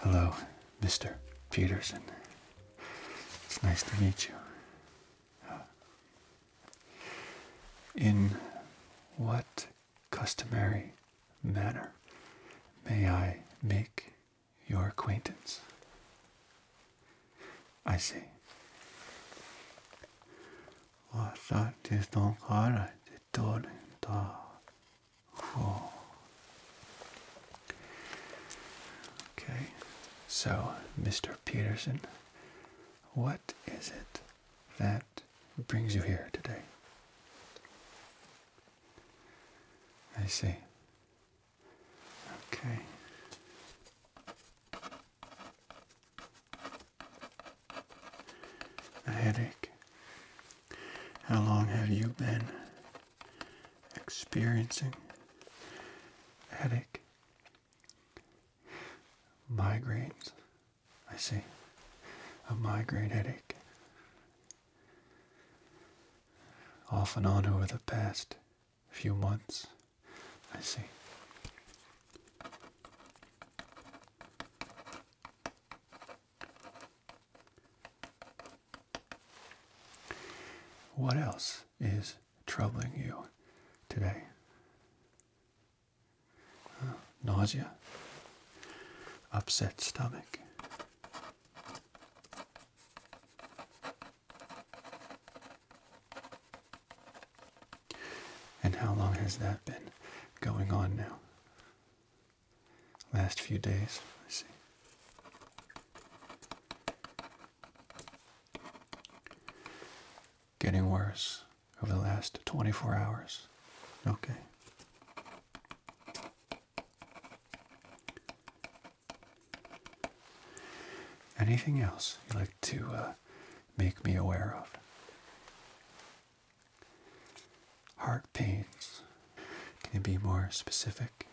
Hello, Mr. Peterson. It's nice to meet you. Uh, in what customary manner may I make your acquaintance. I see. Okay, so Mr. Peterson, what is it that brings you here today? I see. Okay. A headache. How long have you been experiencing headache? Migraines. I see. A migraine headache. Off and on over the past few months. I see. What else is troubling you today? nausea, upset stomach, and how long has that been going on now? Last few days, I see. Getting worse over the last 24 hours. Okay. Anything else you'd like to uh, make me aware of? Heart pains. Can you be more specific?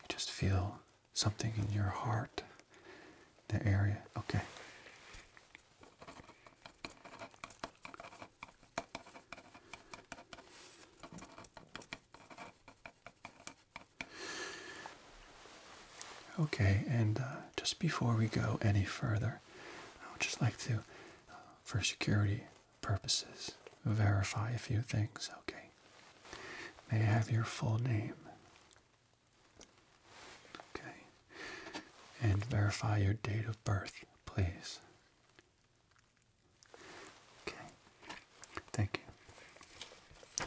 You just feel something in your heart, the area. Okay. Okay, and uh, just before we go any further, I would just like to, uh, for security purposes, verify a few things, okay? May I have your full name? Okay. And verify your date of birth, please. Okay. Thank you.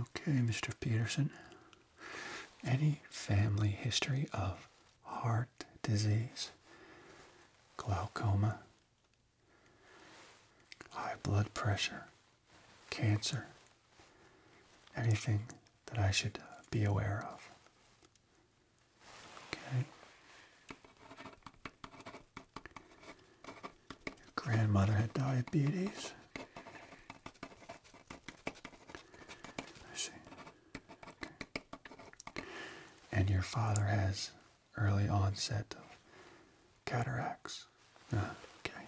Okay, Mr. Peterson. Any family history of heart disease, glaucoma, high blood pressure, cancer, anything that I should uh, be aware of? Okay. Your grandmother had diabetes. I see. And your father has early onset of cataracts. Ah, okay.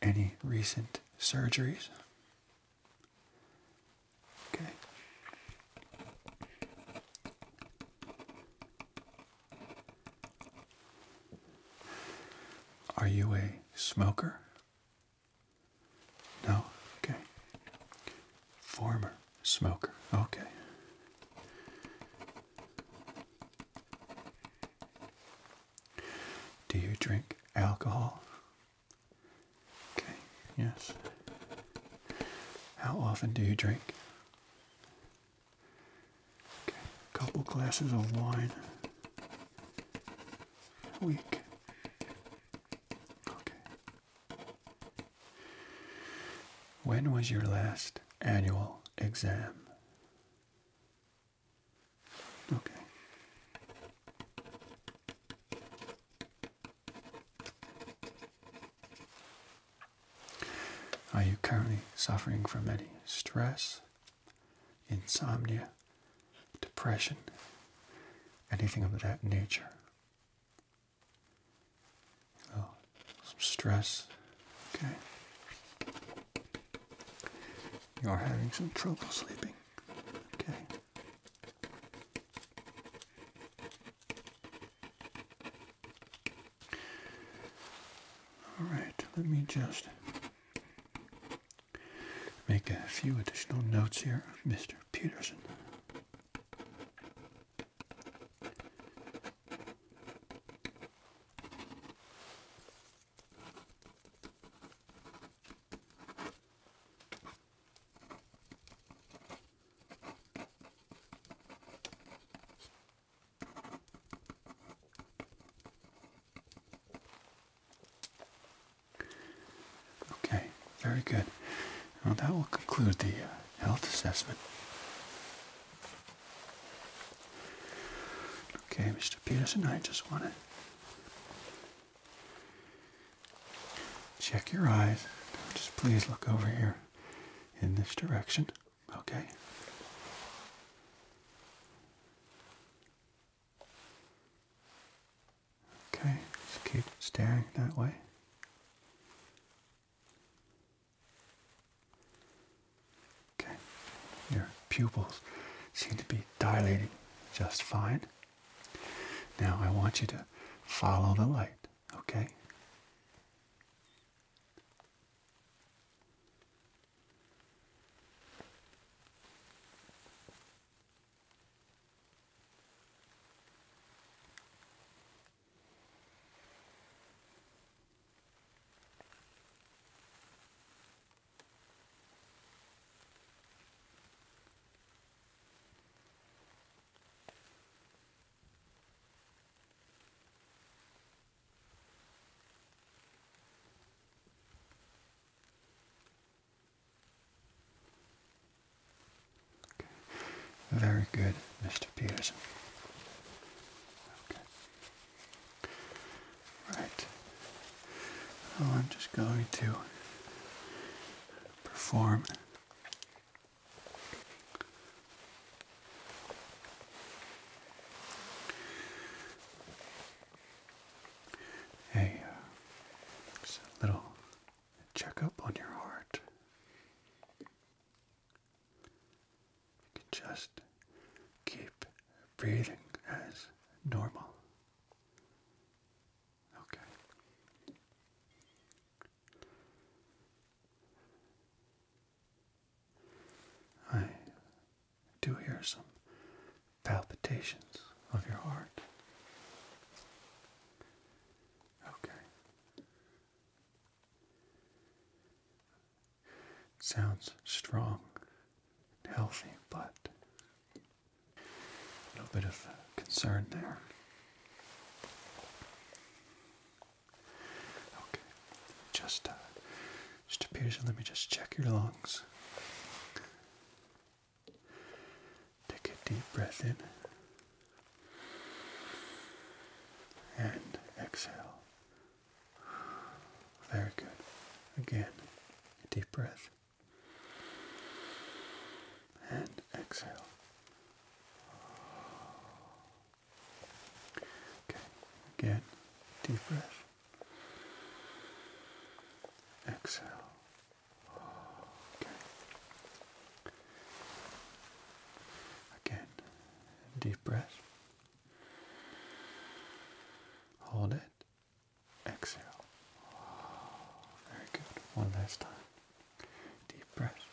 Any recent surgeries? Okay. Are you a smoker? No? Okay. Former smoker. Okay. Do you drink alcohol? Okay, yes. How often do you drink? Okay, a couple glasses of wine a week. Okay. When was your last annual exam? Okay. Are you currently suffering from any stress, insomnia, depression, anything of that nature? Oh, some stress. Okay. You are having some trouble sleeping. Okay. All right, let me just make a few additional notes here Mr. Peterson. Okay, very good. Now that will conclude the uh, health assessment. Okay, Mr. Peterson, I just want to check your eyes. Just please look over here in this direction. Okay. Okay, just keep staring that way. Okay, your pupils seem to be dilating just fine. Now I want you to follow the light, okay? Very good, Mr. Peterson. Okay. Right. I'm just going to perform a, uh, just a little checkup on your heart. just keep breathing as normal. Okay. I do hear some palpitations of your heart. Okay sounds strong and healthy, but a little bit of concern there. Okay, just uh, just appears. Let me just check your lungs. Take a deep breath in and exhale. Very good. Again, a deep breath. And exhale. Okay, again, deep breath. Exhale. Okay. Again, deep breath. Hold it Exhale. Very good. One last time. Deep breath.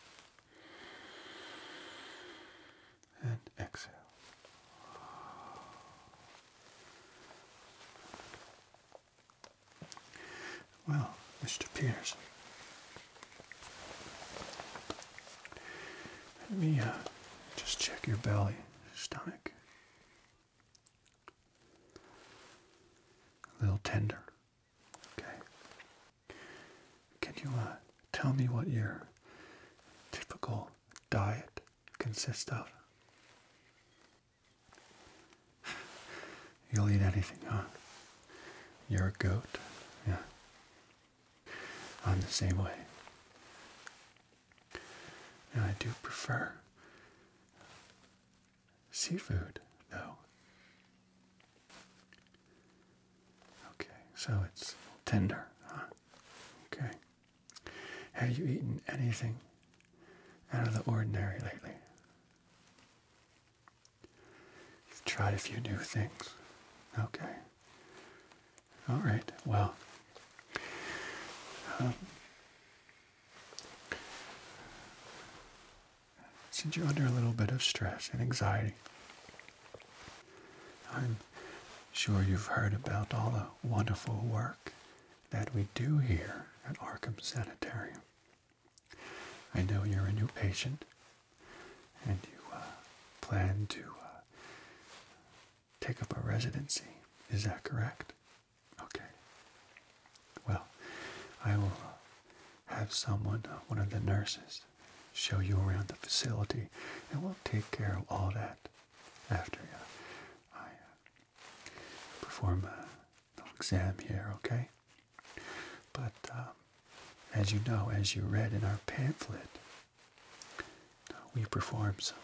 And exhale. Well, Mr. Pierce, let me uh, just check your belly, stomach, a little tender. Okay. Can you uh, tell me what your typical diet consists of? You'll eat anything, huh? You're a goat. Yeah. I'm the same way. And I do prefer seafood, though. Okay, so it's tender, huh? Okay. Have you eaten anything out of the ordinary lately? You've tried a few new things. Okay. All right. Well, um, since you're under a little bit of stress and anxiety, I'm sure you've heard about all the wonderful work that we do here at Arkham Sanitarium. I know you're a new patient and you uh, plan to uh, take up a residency. Is that correct? Okay. Well, I will uh, have someone, uh, one of the nurses, show you around the facility, and we'll take care of all that after you. Uh, I perform a an exam here, okay? But um, as you know, as you read in our pamphlet, we perform some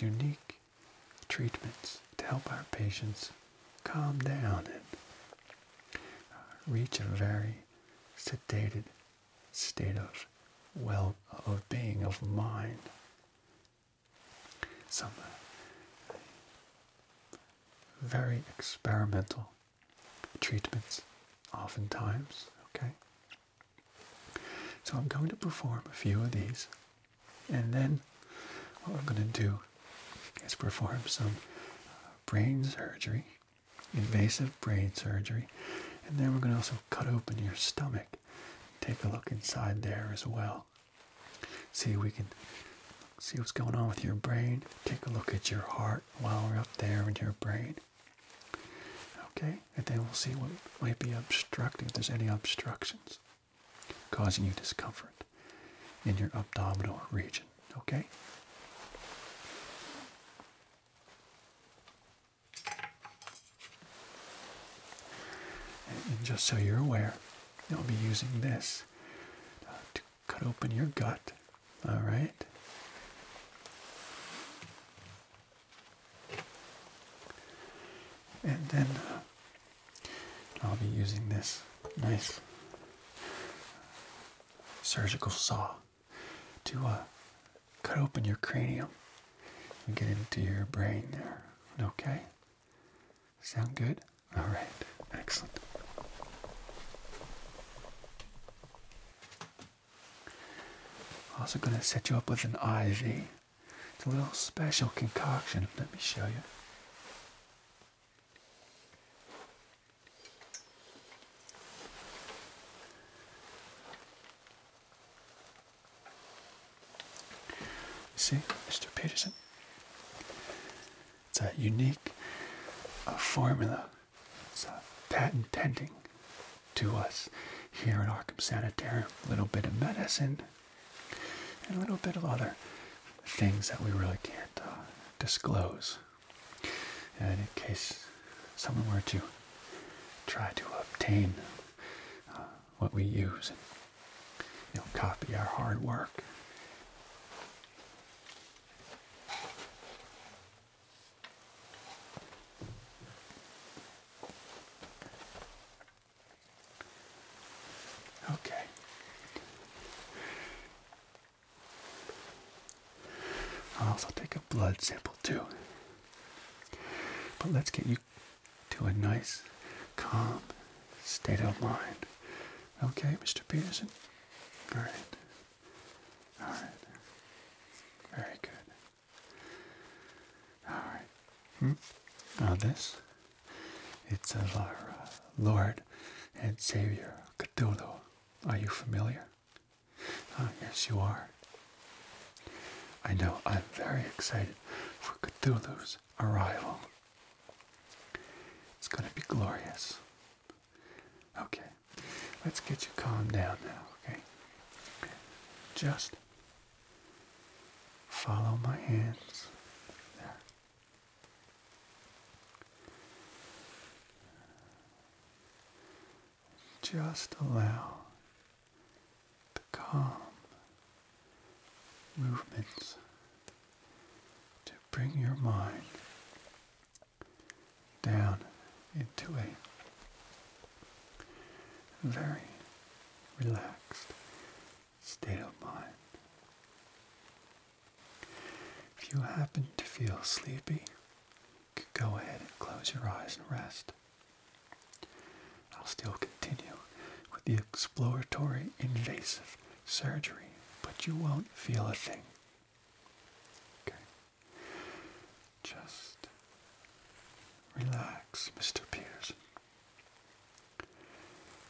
unique treatments to help our patients calm down and uh, reach a very sedated state of well of being of mind. Some uh, very experimental treatments oftentimes, okay? So I'm going to perform a few of these, and then what we're going to do is perform some uh, brain surgery, invasive brain surgery, and then we're going to also cut open your stomach. Take a look inside there as well. See we can see what's going on with your brain. Take a look at your heart while we're up there in your brain. Okay, and then we'll see what might be obstructing, if there's any obstructions causing you discomfort in your abdominal region, okay? And just so you're aware, I'll be using this uh, to cut open your gut, all right? And then uh, I'll be using this nice surgical saw to uh, cut open your cranium and get into your brain there. Okay? Sound good? All right. Excellent. Also going to set you up with an IV it's a little special concoction. Let me show you. See, Mr. Peterson. It's a unique uh, formula. It's a patent pending to us here in Arkham Sanitarium. A little bit of medicine and a little bit of other things that we really can't uh, disclose. in case someone were to try to obtain uh, what we use and copy our hard work. Okay. I'll also take a blood sample too. But let's get you to a nice, calm state of mind. Okay, Mr. Peterson? All right. All right. Very good. All right. Hmm. Now this, it's our uh, Lord and Savior Cthulhu. Are you familiar? Ah, yes, you are. I know. I'm very excited for Cthulhu's arrival. It's going to be glorious. Okay, let's get you calmed down now, okay? Just Follow my hands. Just allow the calm movements to bring your mind down into a very relaxed state of mind. If you happen to feel sleepy, go ahead and close your eyes and rest. I'll still continue with the exploratory invasive surgery, but you won't feel a thing. Okay. Just relax, Mr. Pierce.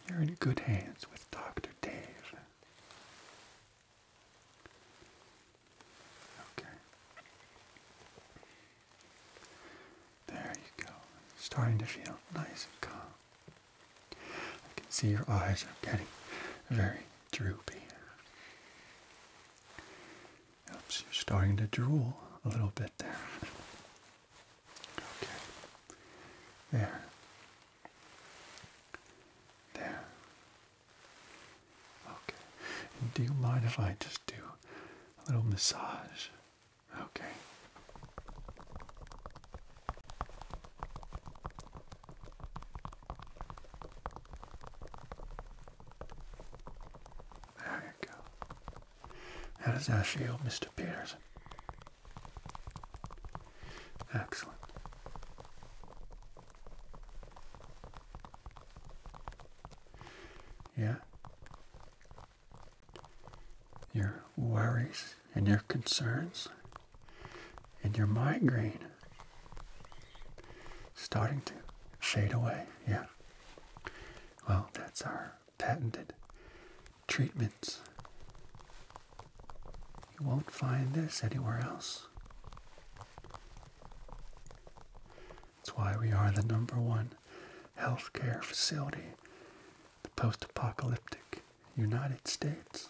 You're in good hands with Dr. Dave. Okay. There you go. Starting to feel nice and calm. I can see your eyes are getting very droopy you're starting to drool a little bit there. Okay. There. There. Okay. do you mind if I just do a little massage? Okay. There you go. How does that feel, Mr. Peters? Excellent. Yeah. Your worries and your concerns and your migraine starting to fade away. Yeah. Well, that's our patented treatments. You won't find this anywhere else. That's why we are the number one healthcare facility, the post apocalyptic United States.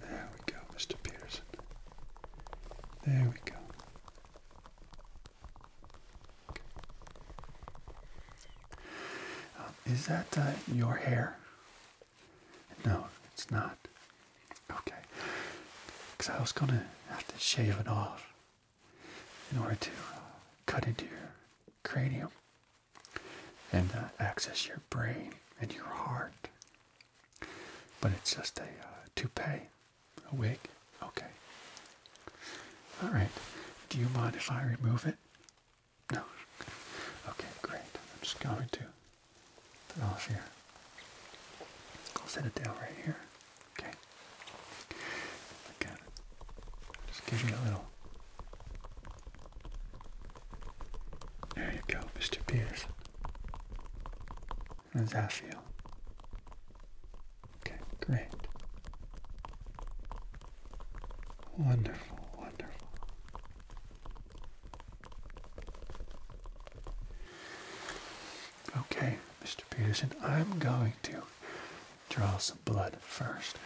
There we go, Mr. Peterson. There we go. Uh, is that uh, your hair? No, it's not. Okay. Because I was going to have to shave it off in order to uh, cut into your cranium and access your brain and your heart. But it's just a uh, toupee, a wig. Okay. All right. Do you mind if I remove it? No. Okay, great. I'm just going to put off here. I'll set it down right here. Okay. Again, just give you a little there you go, Mr. Peterson. How does that feel? Okay, great. Wonderful, wonderful. Okay, Mr. Peterson, I'm going to draw some blood first.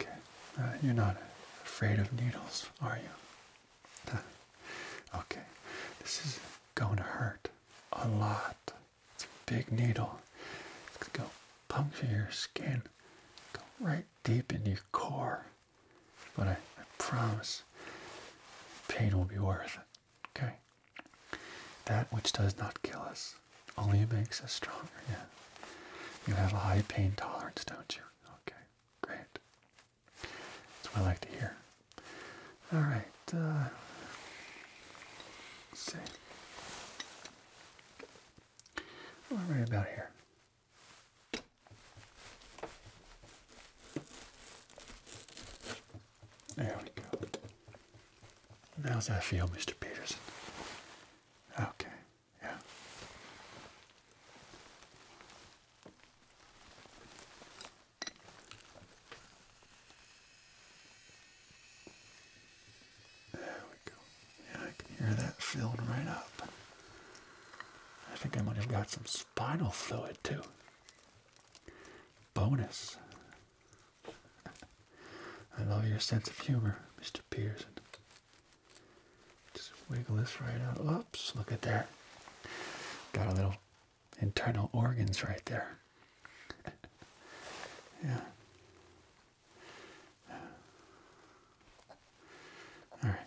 Okay, uh, you're not afraid of needles, are you? okay, this is going to hurt a lot. It's a big needle. It's going to puncture your skin, go right deep into your core. But I promise, pain will be worth it. Okay? That which does not kill us only makes us stronger, yeah. You have a high pain tolerance, don't you? Okay, great. That's what I like to hear. All right, uh, let's see. All right, about here. There we go. How's that feel, Mr. Peterson? Okay, yeah. There we go. Yeah, I can hear that filled right up. I think I might have got some spinal fluid too. Bonus. I love your sense of humor, Mr. Pearson. Just wiggle this right out. Oops, look at there. Got a little internal organs right there. yeah. Alright.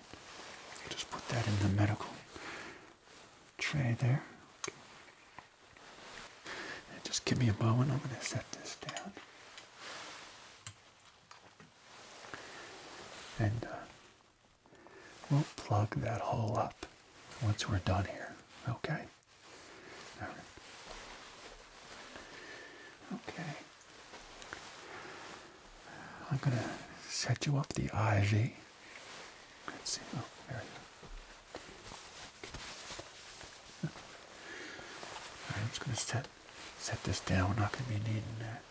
Just put that in the medical tray there. And just give me a moment. I'm going to set this down. And uh, we'll plug that hole up once we're done here. Okay? Okay. Uh, I'm going to set you up the IV. Let's see. Oh, there we go. right, I'm just going to set set this down. We're not going to be needing that.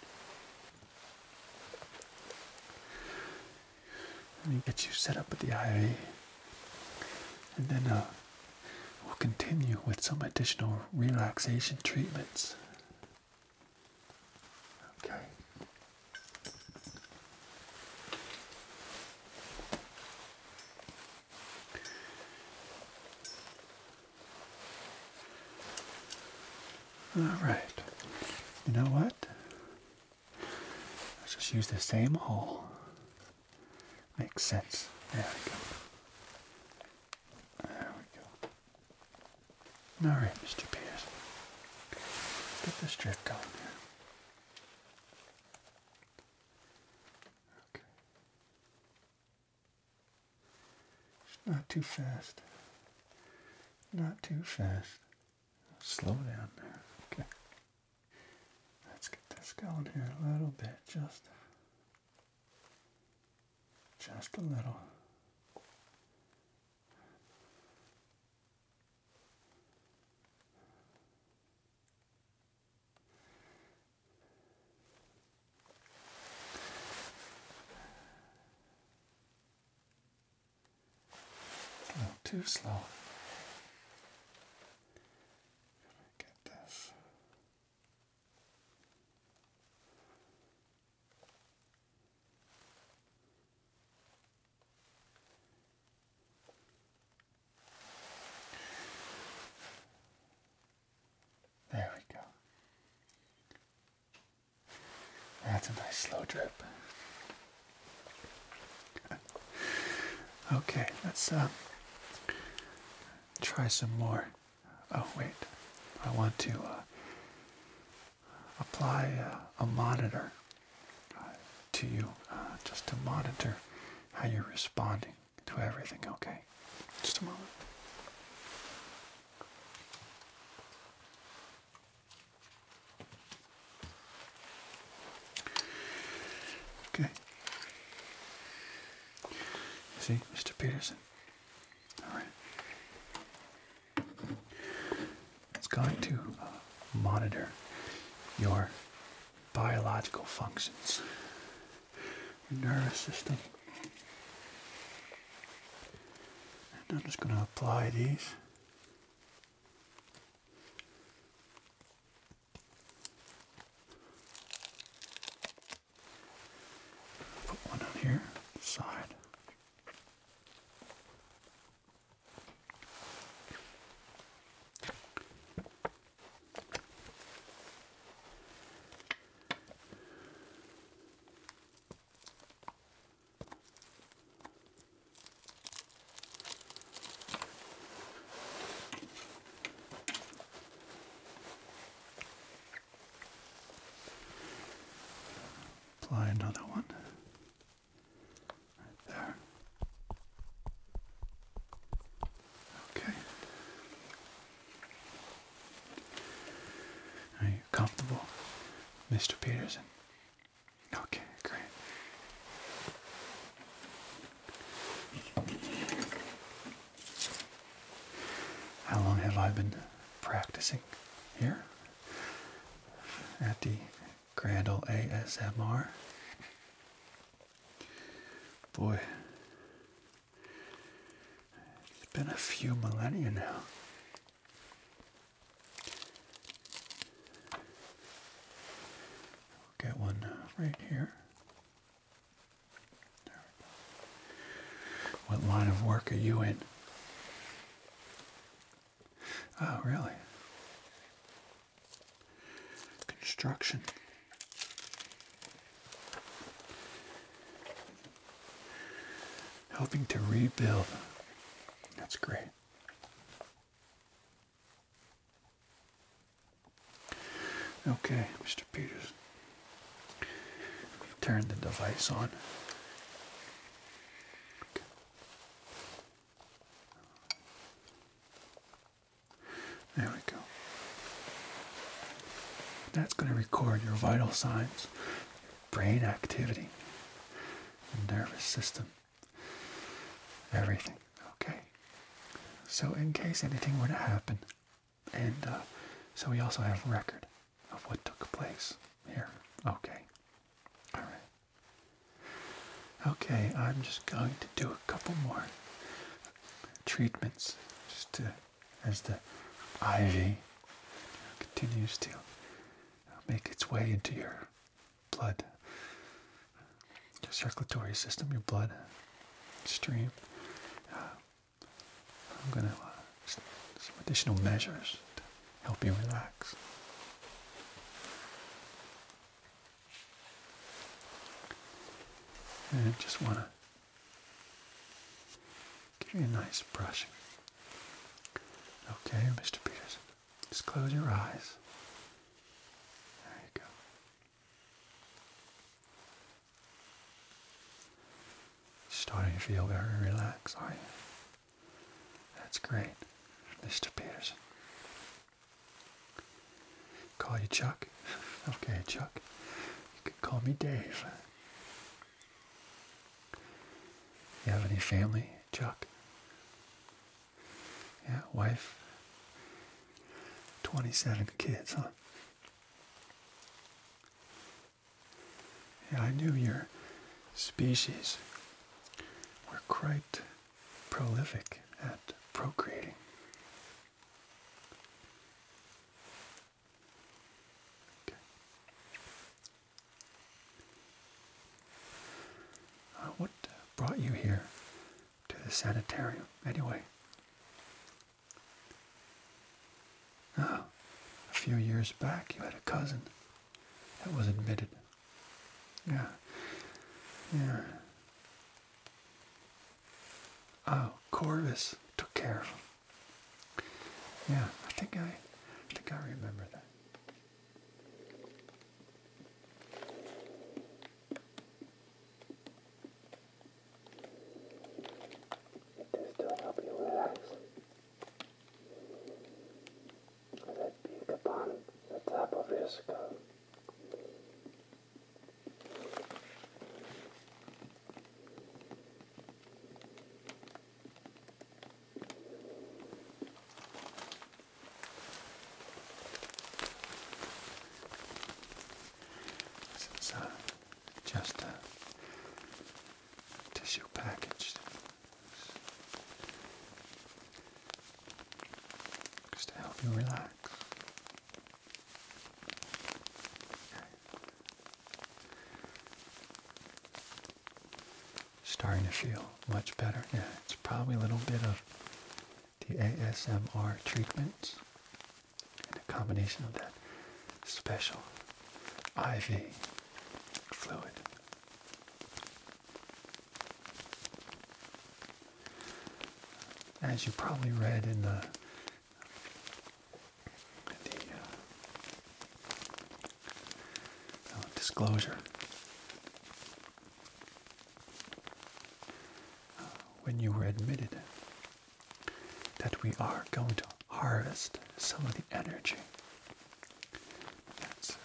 Let me get you set up with the IV. And then uh, we'll continue with some additional relaxation treatments. Okay. All right. You know what? Let's just use the same hole. Makes sense. There we go. There we go. All right, Mr. Pierce. Get this drift going. Okay. Not too fast. Not too fast. Slow down there. Okay. Let's get this going here a little bit. Just, just a little. Slow, too slow. Get this. There we go. That's a nice slow drip. okay, let's uh, try some more. Oh, wait. I want to uh, apply uh, a monitor uh, to you just to monitor how you're responding. Do everything, okay? Just a moment. Okay. see, Mr. Peterson. Alright. It's going to uh, monitor your biological functions your nervous system. And I'm just going to apply these. Put one here, side. Apply another one right there. Okay. Are you comfortable, Mr. Peterson? Okay, great. How long have I been practicing here at the Grand Ole ASMR? Boy, it's been a few millennia now. get one uh, right here. There we go. What line of work are you in? Oh, really? Construction. Helping to rebuild. That's great. Okay, Mr. Peters. Turn the device on. There we go. That's going to record your vital signs, your brain activity, your nervous system, everything. Okay. So in case anything were to happen, and uh, so we also have record of what took place here. Okay. All right. Okay, I'm just going to do a couple more treatments just to as the ivy continues to make its way into your blood your circulatory system, your blood stream. Uh, I'm going to uh, some additional measures to help you relax. And just want to Give you a nice brushing. Okay, Mr. Peterson. Just close your eyes. There you go. Starting to feel very relaxed, are you? That's great, Mr. Peterson. Call you Chuck? Okay, Chuck. You can call me Dave. You have any family, Chuck? Yeah, wife. 27 kids, huh? Yeah, I knew your species were quite prolific at procreating. Uh, what uh, brought you here to the sanitarium, anyway? Oh, a few years back, you had a cousin that was admitted. Yeah. Yeah. Oh, Corvus took care of him. Yeah, I think I, think I remember that. Just to help you relax. Let peek upon the top of your skull. This is uh, just a tissue package. Just to help you relax. Starting to feel much better. Yeah, it's probably a little bit of the ASMR treatments and a combination of that special IV fluid. As you probably read in the the uh, oh, disclosure. when you were admitted, that we are going to harvest some of the energy that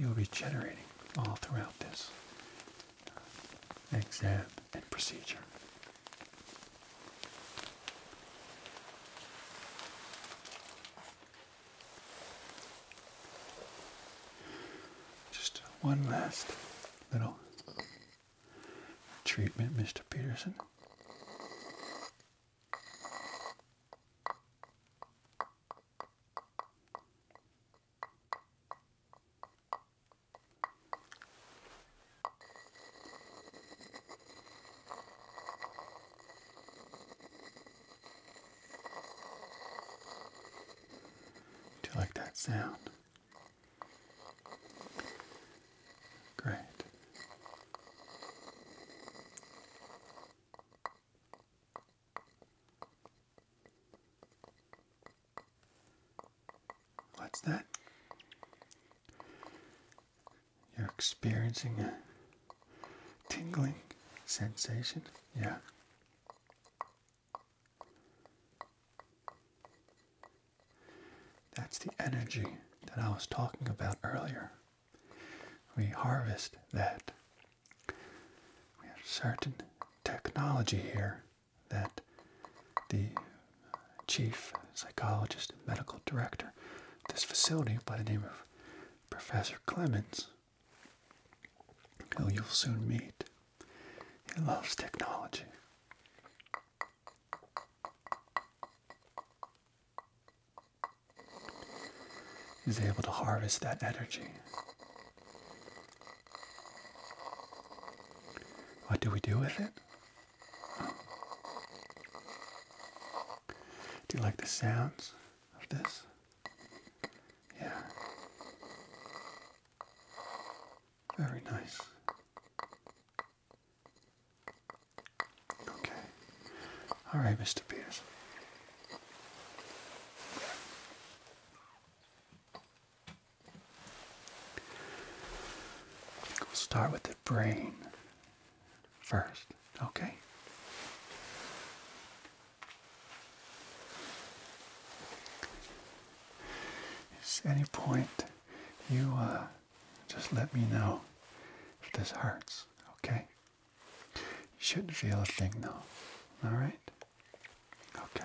you'll be generating all throughout this uh, exam and procedure. Just one last little treatment, Mr. Peterson. Do you like that sound? Great. What's that? You're experiencing a tingling sensation? Yeah. That's the energy that I was talking about earlier. We harvest that. We have certain technology here that the chief psychologist and medical director of this facility by the name of Professor Clemens, who you'll soon meet, he loves technology. He's able to harvest that energy. What do we do with it? Do you like the sounds of this? Yeah. Very nice. Okay. All right, Mr. Peters. We'll start with the brain first, okay? If at any point you uh, just let me know if this hurts, okay? You shouldn't feel a thing though, alright? Okay.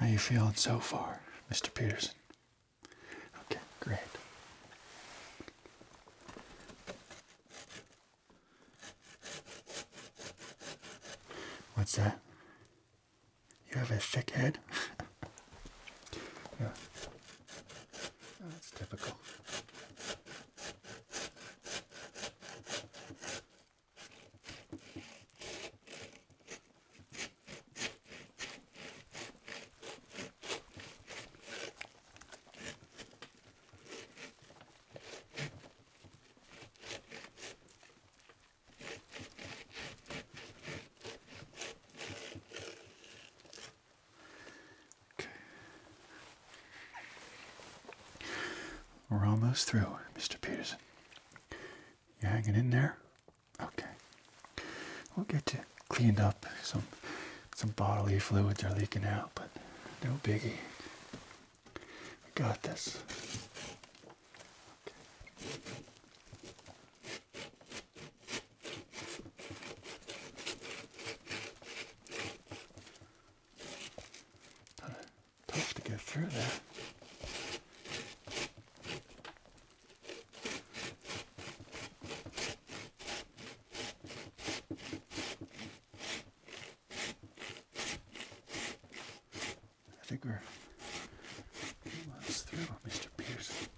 How you feeling so far, Mr. Peterson? Okay, great. What's that? You have a thick head? yeah. Oh, that's typical. We're almost through, Mr. Peterson. You are hanging in there? Okay. We'll get you cleaned up. Some some bodily fluids are leaking out, but no biggie. We got this. Tough to get through there. I think we're almost through, Mr. Pierce.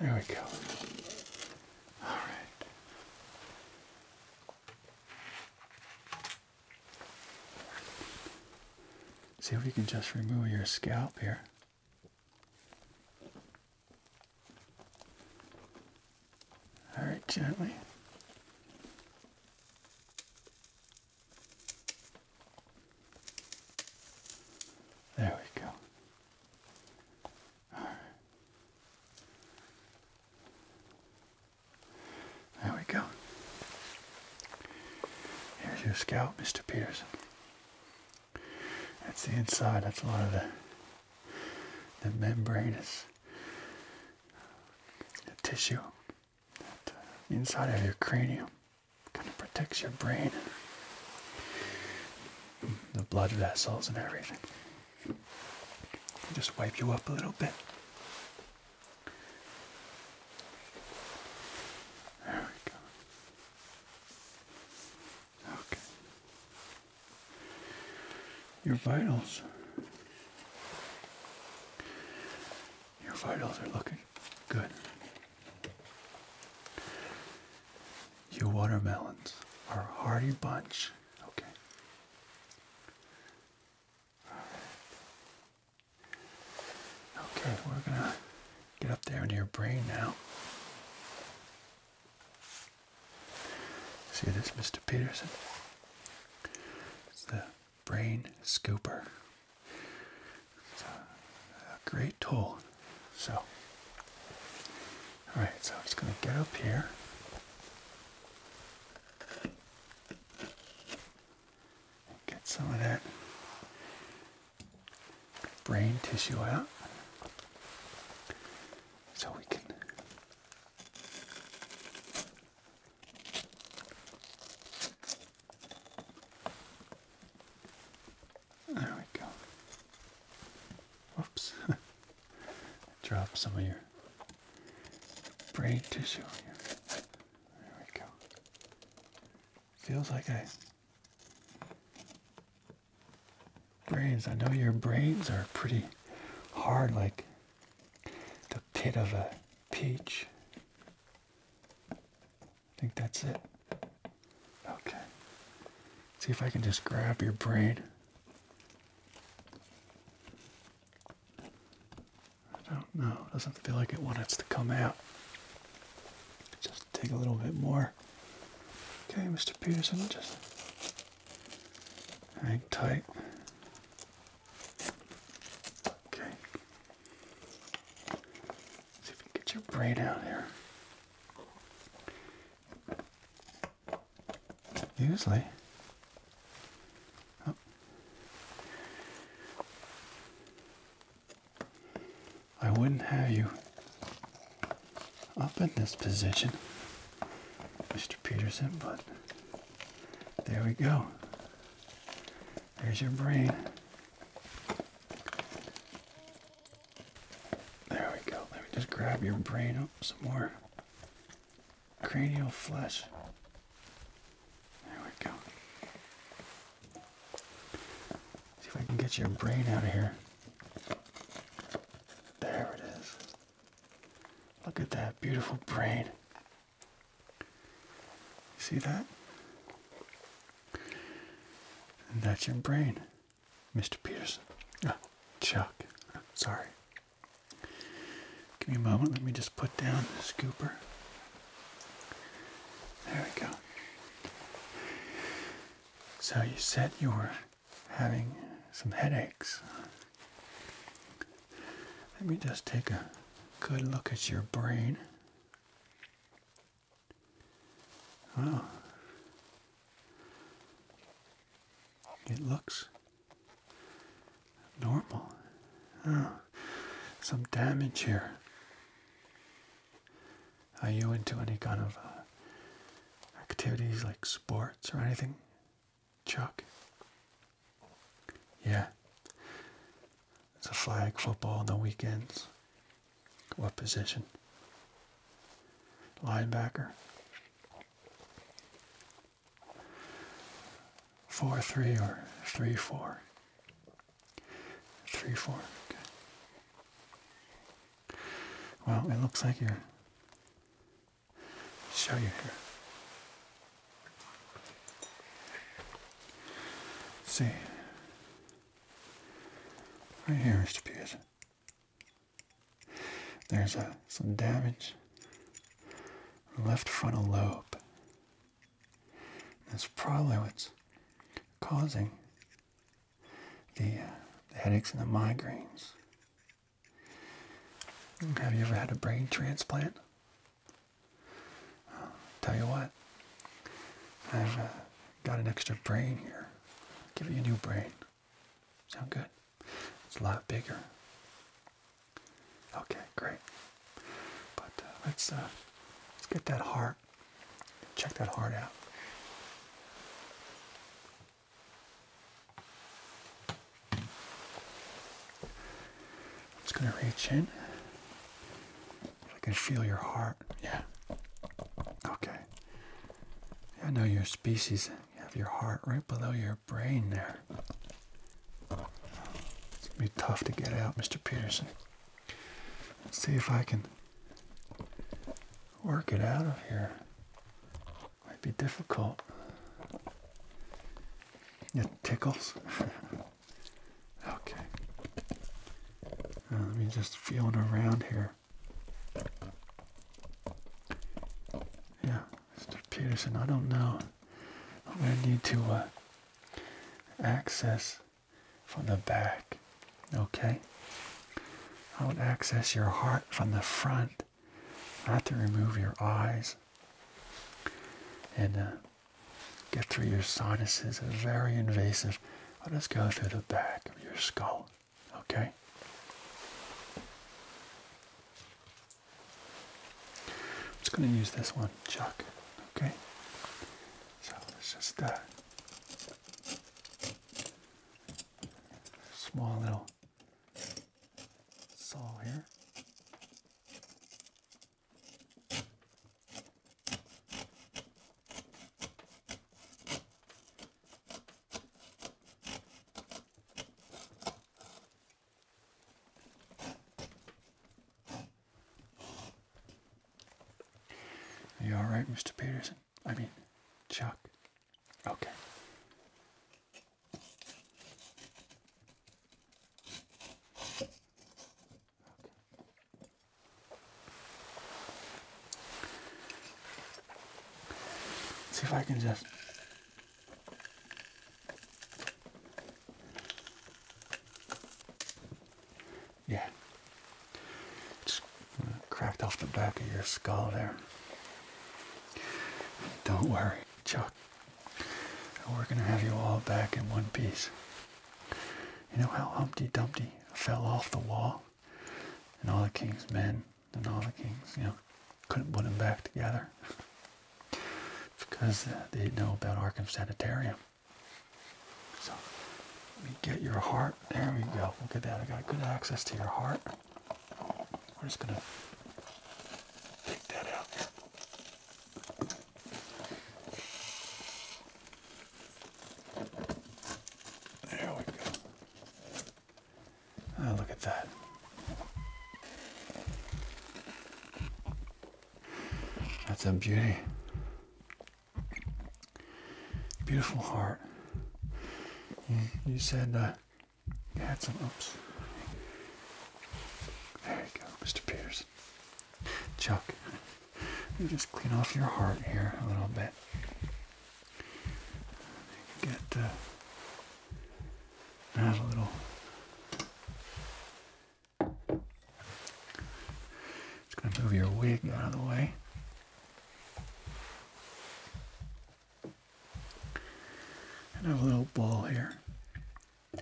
There we go. All right. See if we can just remove your scalp here. All right, gently. There we go. There we go. Here's your scalp, Mr. Peterson. That's the inside. That's a lot of the the membranous is the tissue that, uh, inside of your cranium kind of protects your brain the blood vessels and everything just wipe you up a little bit there we go Okay. Your vitals. Your vitals are looking good. Your watermelons are a hearty bunch. Okay. Okay, we're gonna get up there into your brain now. See this, Mr. Peterson? It's the brain scooper. It's a, a great tool. So, all right, so I'm just going to get up here. Get some of that brain tissue out so we can there we go. Whoops. Drop some of your brain tissue here. There we go. Feels like I brains. I know your brains are pretty hard, like the pit of a peach. I think that's it. Okay. See if I can just grab your brain. I don't know. It doesn't feel like it wants to come out. Just take a little bit more. Okay, Mr. Peterson, just hang tight. Okay. see if we get your braid out here. Usually. Oh. I wouldn't have you up in this position, Mr. Peterson, but there we go. There's your brain. There we go. Let me just grab your brain up some more. Cranial flesh. There we go. See if I can get your brain out of here. There it is. Look at that beautiful brain. See that? that's your brain, Mr. Peterson. Ah, Chuck. sorry. Give me a moment. Let me just put down the scooper. There we go. So you set your having some headaches. Let me just take a good look at your brain. Wow. It looks normal. Oh, some damage here. Are you into any kind of uh, activities like sports or anything, Chuck? Yeah. It's a flag football on the weekends. What position? Linebacker. 4 3 or 3 4? 3 4. Okay. Well, it looks like you're Show you here. See, right here, Mr. Pierce. There's a, uh, some damage left frontal lobe. That's probably what's causing uh, the, headaches and the migraines. Have you ever had a brain transplant? tell you what, I've uh, got an extra brain here. give you a new brain. Sound good? It's a lot bigger. Okay, great. But uh, let's let's get that heart. Check that heart out. I'm just going to reach in. I can feel your heart. Yeah. Okay. I know your species. You have your heart right below your brain there. It's going to be tough to get out, Mr. Peterson. see if I can work it out of here might be difficult. It tickles. okay. Now uh, let me just feel it around here. Yeah, Mr. Peterson, I don't know. I'm going to need to uh, access from the back. Okay? I would access your heart from the front, not to remove your eyes, and uh, get through your sinuses. very invasive. I'll just go through the back of your skull, okay? I'm just going to use this one, Chuck, okay? So it's just that uh, small little saw here. Are you alright, Mr. Peterson? I mean, Chuck. Okay. Okay. See if I can just yeah, Cracked off the back of your skull there. Don't worry, Chuck. We're going to have you all back in one piece. You know how Humpty Dumpty fell off the wall? And all the king's men and all the kings, you know, couldn't put him back together. because uh, they know about Arkham Sanitarium. So, let me get your heart. There we go. Look at that. I got good access to your heart. We're just gonna take that out. There we go. Oh, look at that. That's a beauty. Beautiful heart. You, said. Uh, had some oops. There you go, Mr. Pierce. Chuck, you just clean off your heart here a little bit. Get uh, add a little. Just gonna move your wig out of the way. And a little ball here. And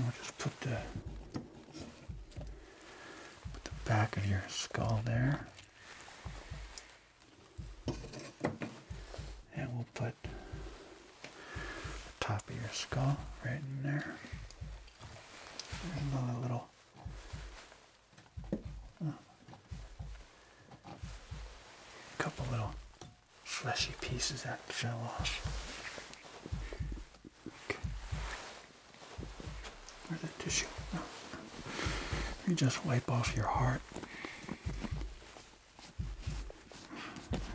we'll just put the put the back of your skull there. And we'll put the top of your skull right in there. And a little a couple little fleshy pieces that fell off. Where's the tissue? You just wipe off your heart.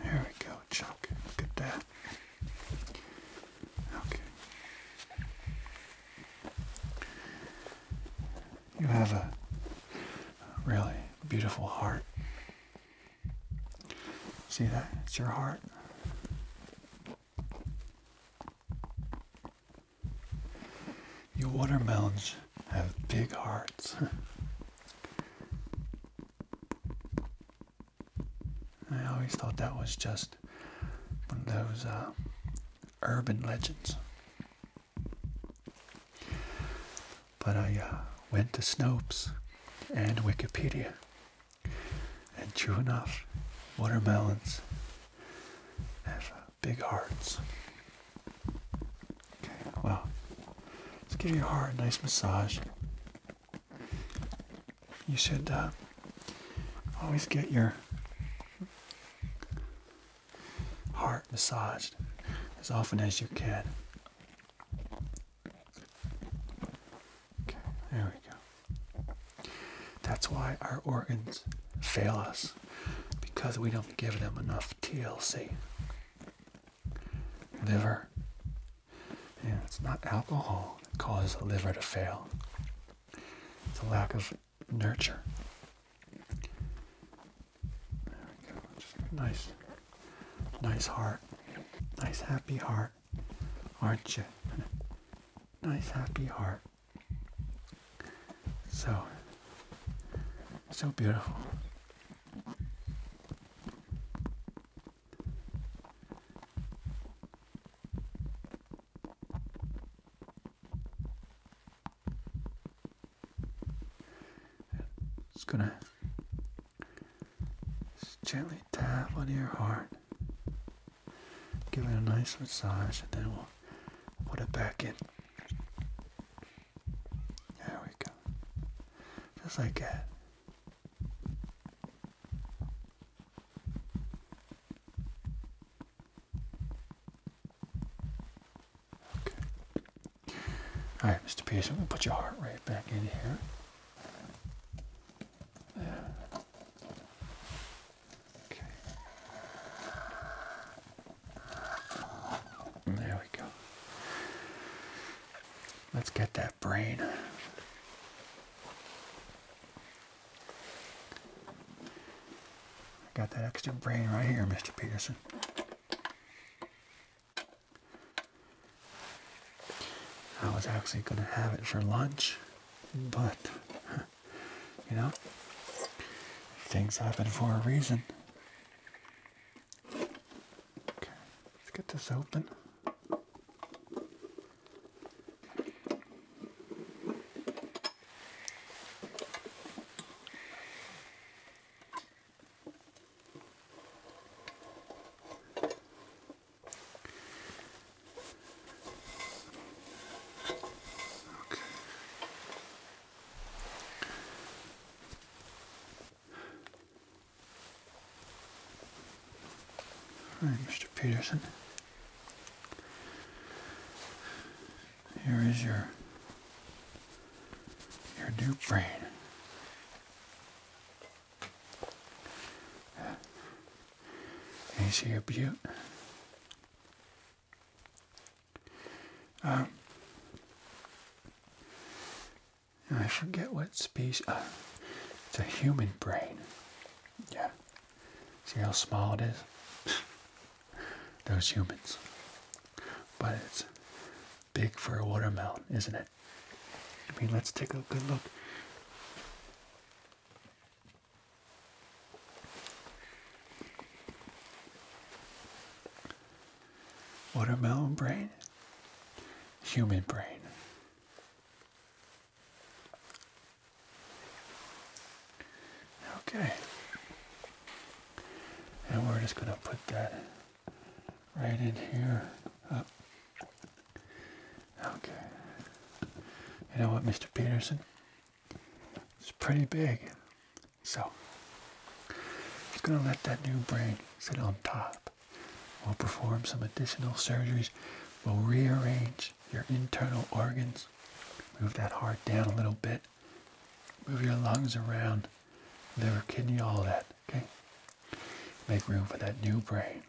There we go, Chuck. Look at that. Okay. You have a really beautiful heart. See that? It's your heart. You watermelons have big hearts. I always thought that was just one of those uh, urban legends. But I uh, went to Snopes and Wikipedia, and true enough, watermelons have uh, big hearts. Okay, well, let's give your heart a nice massage. You should uh, always get your heart massaged as often as you can. Okay, there we go. That's why our organs fail us because we don't give them enough TLC. Liver. And it's not alcohol that causes the liver to fail. It's a lack of nurture. There we go. nice, nice heart, nice happy heart, aren't you? nice happy heart. So, so beautiful. It's gonna just gently tap on your heart, give it a nice massage, and then we'll put it back in. There we go. Just like that. Okay. All right, Mr. Pearson, we'll put your heart right back in here. Okay. There we go. Let's get that brain. I got that extra brain right here, Mr. Peterson. I was actually going to have it for lunch, but, you know, things happen for a reason. Okay, let's get this open. Okay. right, Mr. Peterson. Here is your your Duke brain. Ain't she a beaut? Um, I forget what species. Uh, it's a human brain. Yeah. See how small it is? those humans. But it's big for a watermelon, isn't it? I mean, let's take a good look. Watermelon brain, human brain. Okay. And we're just going to put that right in here. Up. Okay. You know what, Mr. Peterson? It's pretty big. So, it's going to let that new brain sit on top. We'll perform some additional surgeries. We'll rearrange your internal organs. Move that heart down a little bit. Move your lungs around, liver, kidney, all that. Okay? Make room for that new brain.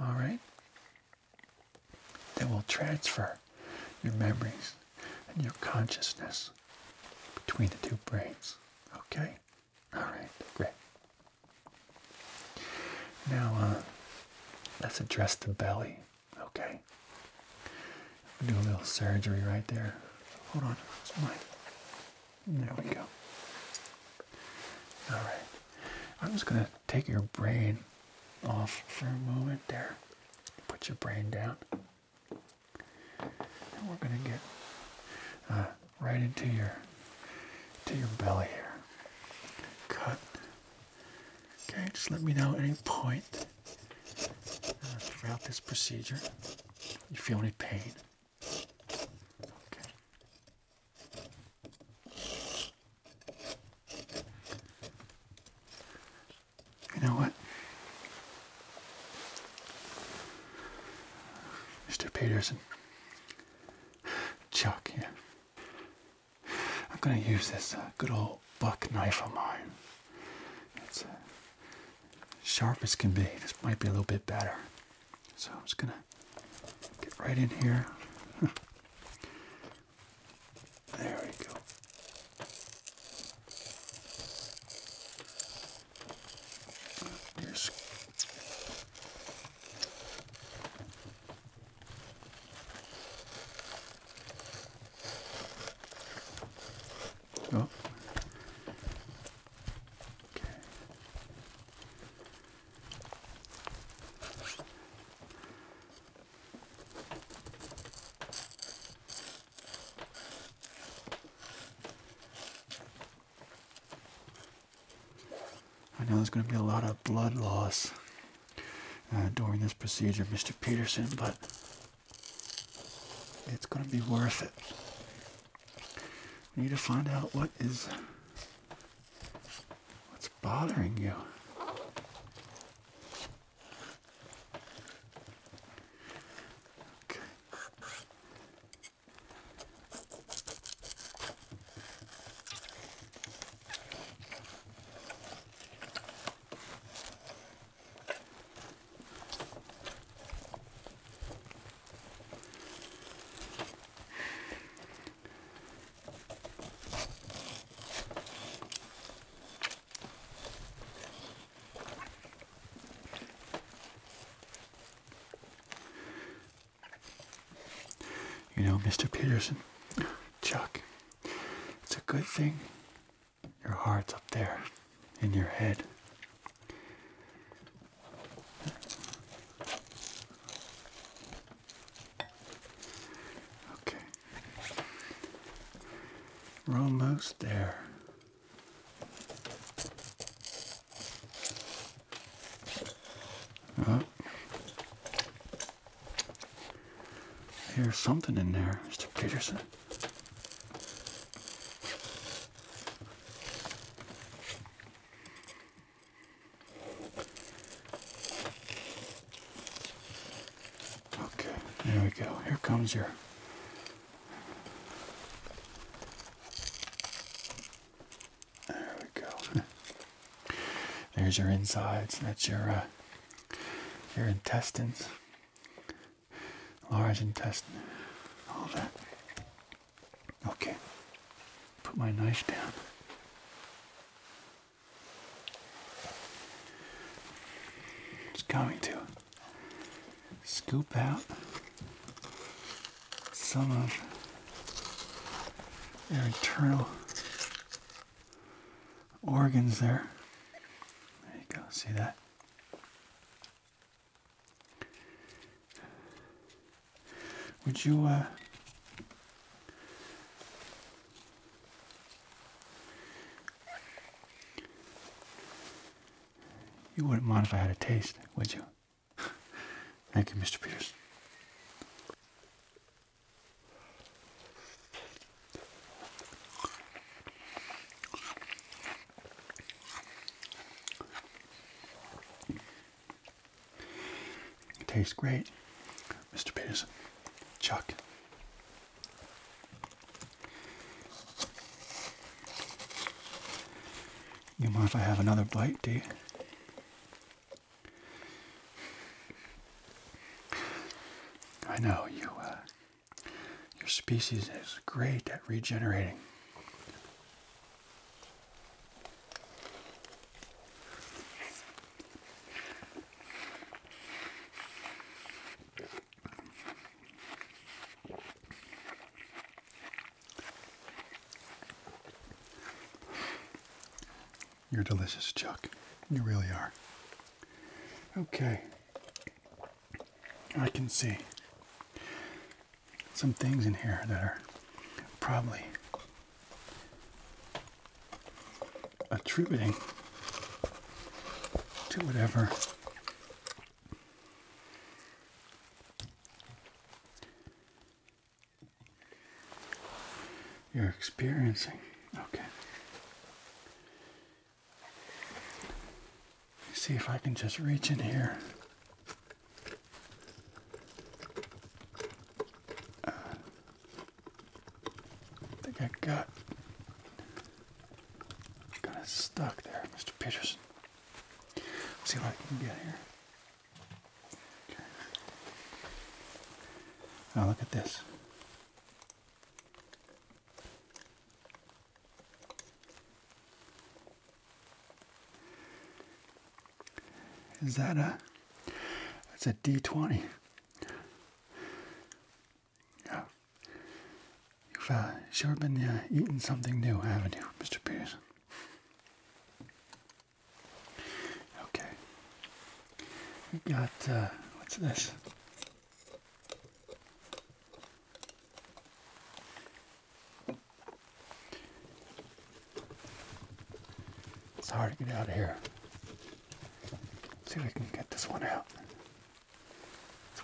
All right? Then we'll transfer your memories and your consciousness between the two brains. Okay? All right, great. Now, uh, let's address the belly. Okay. Do a little surgery right there. Hold on, it's mine. There we go. All right. I'm just gonna take your brain off for a moment there. Put your brain down, and we're gonna get uh, right into your to your belly here. Cut. Okay, just let me know any point throughout this procedure. You feel any pain? Okay. You know what? Mr. Peterson, Chuck here. I'm gonna use this uh, good old buck knife of mine. It's uh, sharp as can be. This might be a little bit better. So I'm just going to get right in here. there we go. Oh. I know there's going to be a lot of blood loss uh, during this procedure, Mr. Peterson, but it's going to be worth it. We need to find out what is what's bothering you. Okay. You know, Mr. Peterson, Chuck, it's a good thing your heart's up there in your head. Okay. We're almost there. Oh. Here's something in there, Mr. Peterson. Okay, there we go. Here comes your there we go. There's your insides. That's your uh, your intestines large intestine, all that. Okay, put my knife down. It's going to scoop out some of their internal organs there. There you go, see that? Would you, uh, you wouldn't mind if I had a taste, would you? Thank you, Mr. Pierce tastes great, Mr. Peterson. Chuck. You mind if I have another bite, do you? I know you uh, your species is great at regenerating. You're delicious, Chuck. You really are. Okay. I can see some things in here that are probably attributing to whatever you're experiencing. Okay see if I can just reach in here. Uh, I think I got kind of stuck there, Mr. Peterson. see if I can get here. Now look at this. Is that a? That's a D twenty. Yeah. You've uh, sure been uh, eating something new, haven't you, Mr. Peterson? Okay. We got uh, what's this? It's hard to get out of here. see if we can get this one out.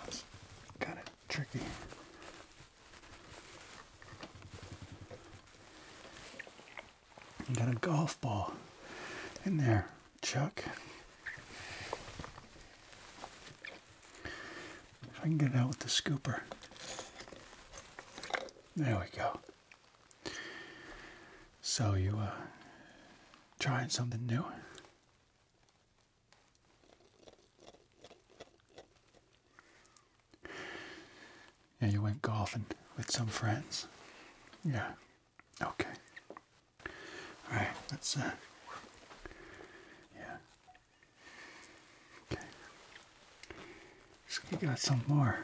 This kind of tricky. You got a golf ball in there chuck. If I can get it out with the scooper. There we go. So you uh trying something new? Yeah, you went golfing with some friends. Yeah. Okay. All right, let's, uh, yeah. Okay. So we got some more.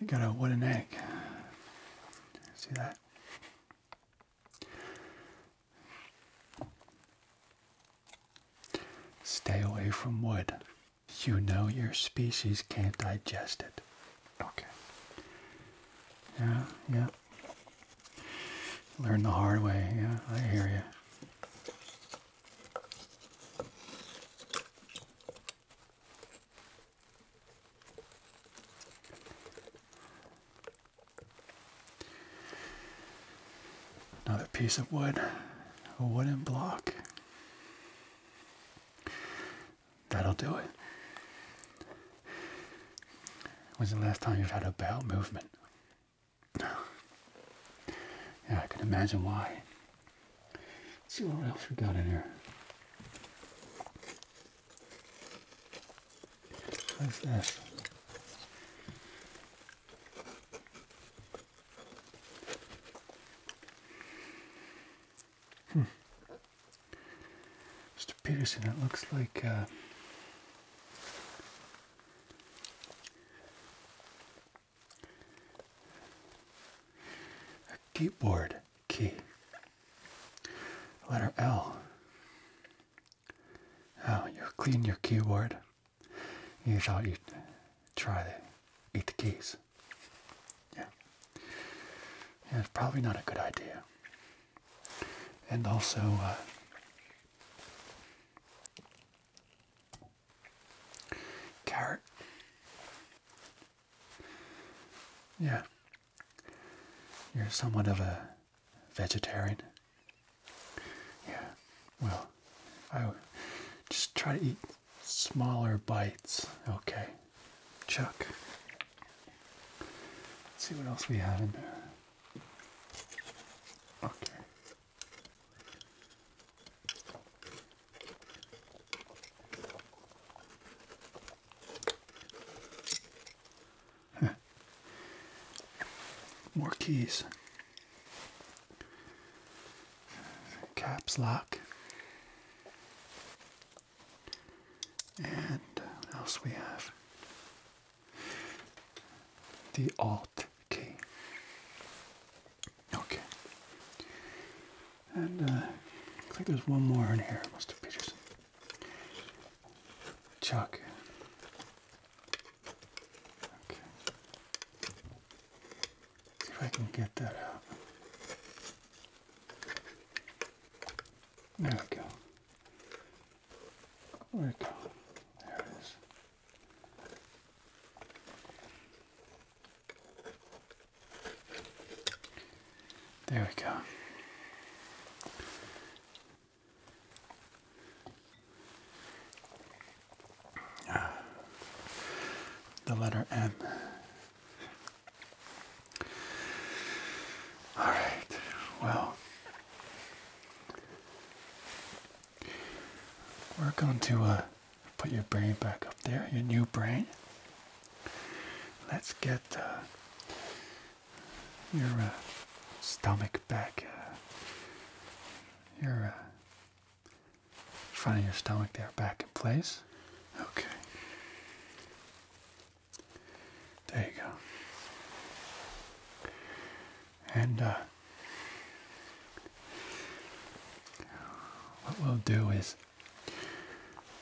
You got a wooden egg. See that? Stay away from wood. You know your species can't digest it. Okay. Yeah, yeah. Learn the hard way. Yeah, I hear you. Another piece of wood, a wooden block. That'll do it. When's the last time you've had a bowel movement? Yeah, I can imagine why. Let's see what else we got in here. What's this? Mr. Peterson, it looks like uh, a keyboard key. Letter L. Oh, you clean your keyboard. You thought you'd try to eat the keys. Yeah. it's probably not a good idea. And also, uh, carrot. Yeah. You're somewhat of a vegetarian. Yeah. Well, I would just try to eat smaller bites. Okay, Chuck. Let's see what else we have in there. Okay. More keys caps lock. And else we have? The Alt key. Okay. And uh, I think there's one more in here, Mr. Peterson. Chuck. Okay see if I can get that out. There we go. There we go? There it is. There we go the letter M. All right, well, we're going to uh, put your brain back up there, your new brain. Let's get uh, your uh, stomach back, your front of your stomach there back in place. Okay. There you go. And uh, what we'll do is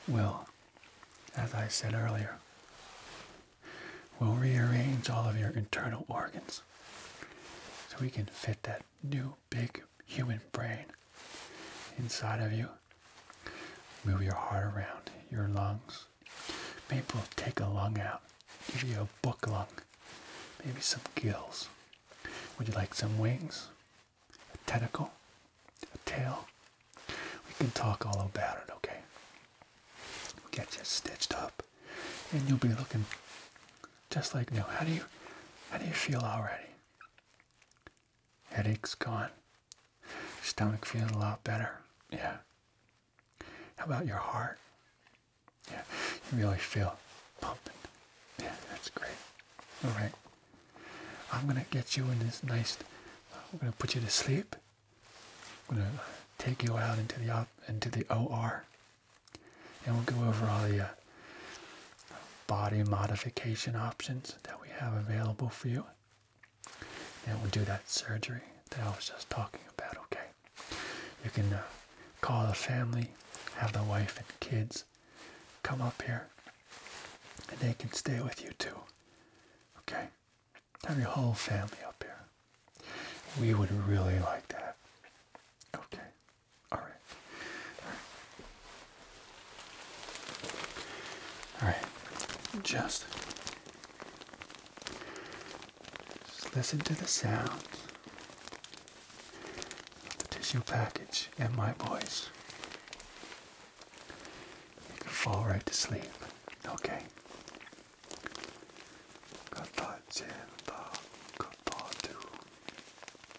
we'll, as I said earlier, we'll rearrange all of your internal organs so we can fit that new big human brain inside of you. Move your heart around, your lungs. Maybe we'll take a lung out, give you a book lung, maybe some gills. Would you like some wings? A tentacle? A tail? We can talk all about it, okay? we get you stitched up and you'll be looking just like new. How do you how do you feel already? Headache's gone. Stomach feeling a lot better. Yeah. How about your heart? Yeah, you really feel pumping. Yeah, that's great. All right. I'm going to get you in this nice, I'm going to put you to sleep. I'm going to take you out into the, op, into the OR. And we'll go over all the uh, body modification options that we have available for you. And we'll do that surgery that I was just talking about, okay? You can uh, call the family, have the wife and kids come up here, and they can stay with you too, okay? Have your whole family up here. We would really like that, okay? All right. All right. Just, just listen to the sound of the tissue package and my voice. You can fall right to sleep. Okay. Good thought, Jim. Good thought, too.